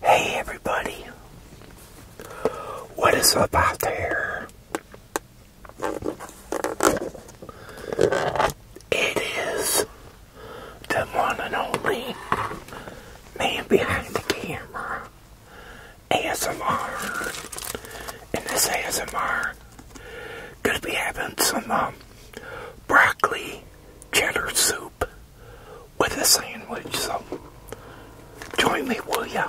Hey everybody, what is up out there? It is the one and only man behind the camera, ASMR, and this ASMR gonna be having some um, broccoli cheddar soup with a sandwich. So join me, will ya?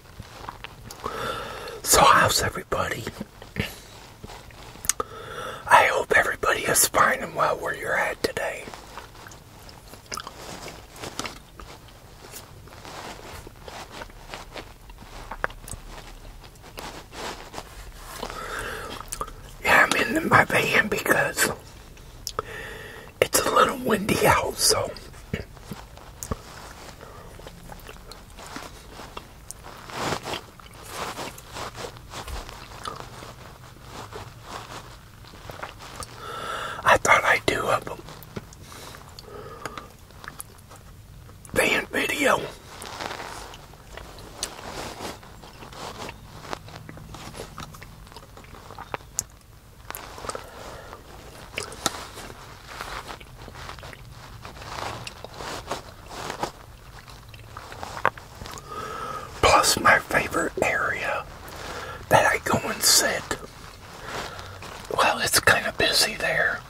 So, how's everybody? I hope everybody is fine and well where you're at today. Yeah, I'm in my van because it's a little windy out, so I thought I'd do a band video. Plus, my favorite area that I go and sit, well, it's kind of busy there.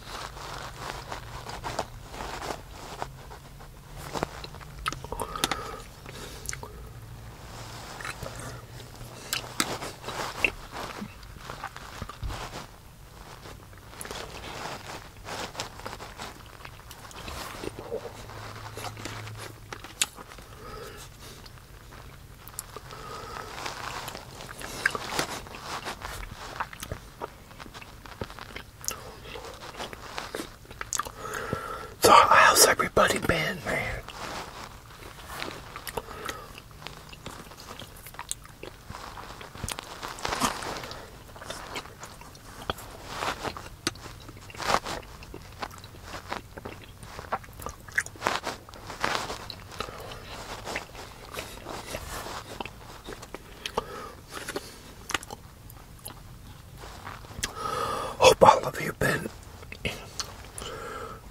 So how's everybody been, man? Oh, all of you been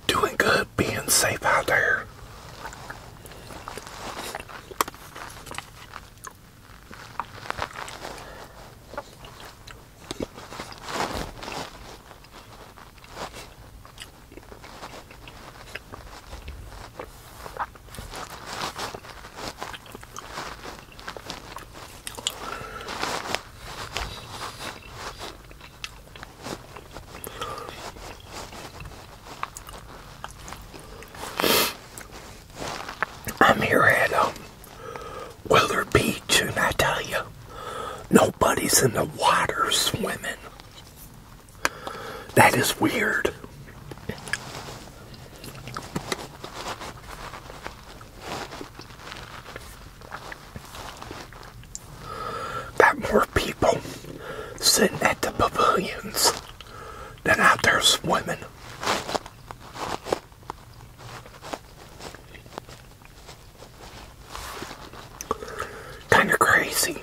doing good, being safe out there. I'm here at um, uh, Willard Beach, and I tell you, nobody's in the water swimming. That is weird. Got more people sitting at the pavilions than out there swimming. Kind of crazy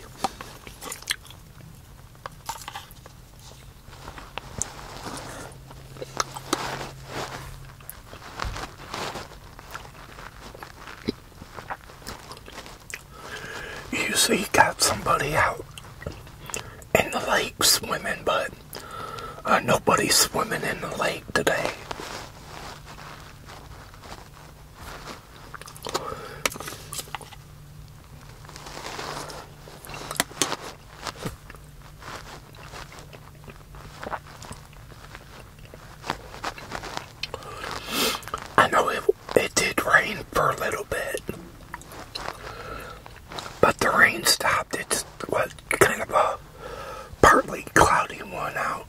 usually got somebody out in the lake swimming, but uh, nobody's swimming in the lake today. I know it, it did rain for a little bit, but the rain stopped. It's what kind of a partly cloudy one out.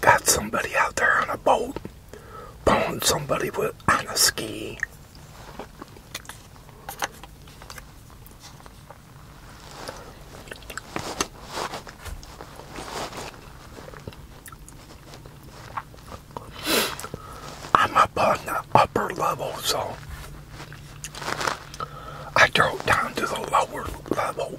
Got somebody out there on a boat. Pulling somebody with on a ski. I'm up on the upper level, so I drove down to the lower level.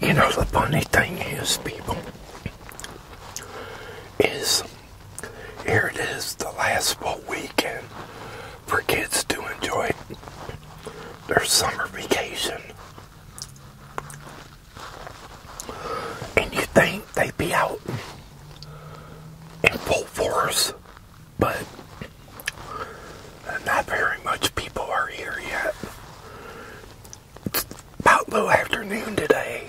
You know, the funny thing is, people, is here it is the last full weekend for kids to enjoy their summer vacation. And you think they'd be out in full force, but not very much people are here yet. It's about low afternoon today.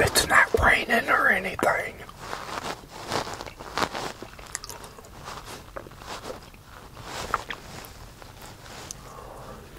It's not raining or anything.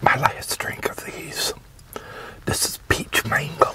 My last drink of these this is peach mango.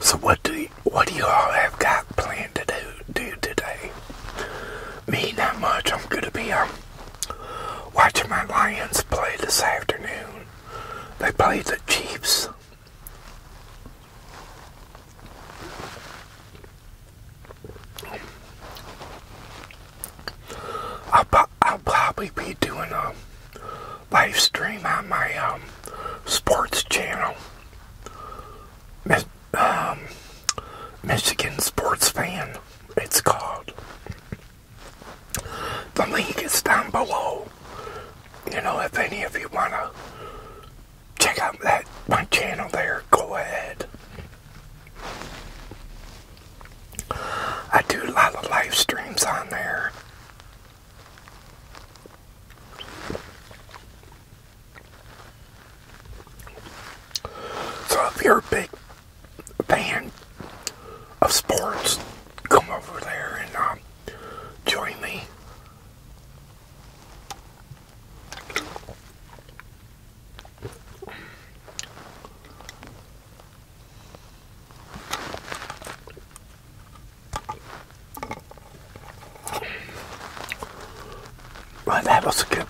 So what do you, what do you all have got planned to do do today? Me, not much. I'm gonna be um watching my Lions play this afternoon. They play the Chiefs. I'll, I'll probably be doing um live stream on my um, sports channel, Miss, um, Michigan Sports Fan. It's called. The link is down below. You know, if any of you wanna check out that my channel there, go ahead. I do a lot of live streams on there. So if you're a big fan of sports, come over there and um, join me that was good.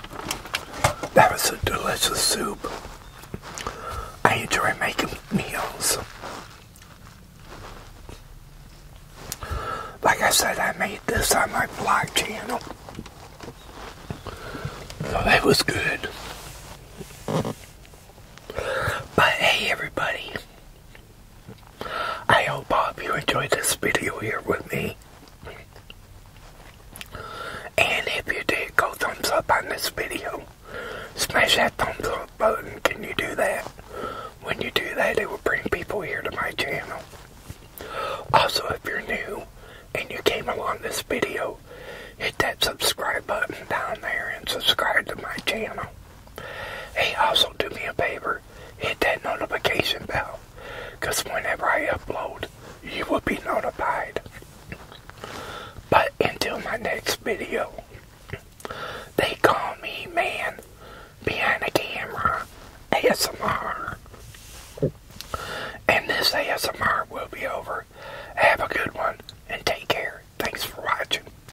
That was a delicious soup. I enjoy making meals. Like I said, I made this on my blog channel. So that was good. But hey, everybody. I hope you enjoyed this video here with me. And if you did, go thumbs up on this video. Smash that thumbs up button. Can you do that? When you do that, it will bring people here to my channel. Also, if you're new and you came along this video, hit that subscribe button down there and subscribe to my channel. Hey, also do me a favor, hit that notification bell, because whenever I upload, you will be notified. But until my next video, they call me man behind the camera ASMR. And this ASMR will be over. Have a good one and take care. Thanks for watching.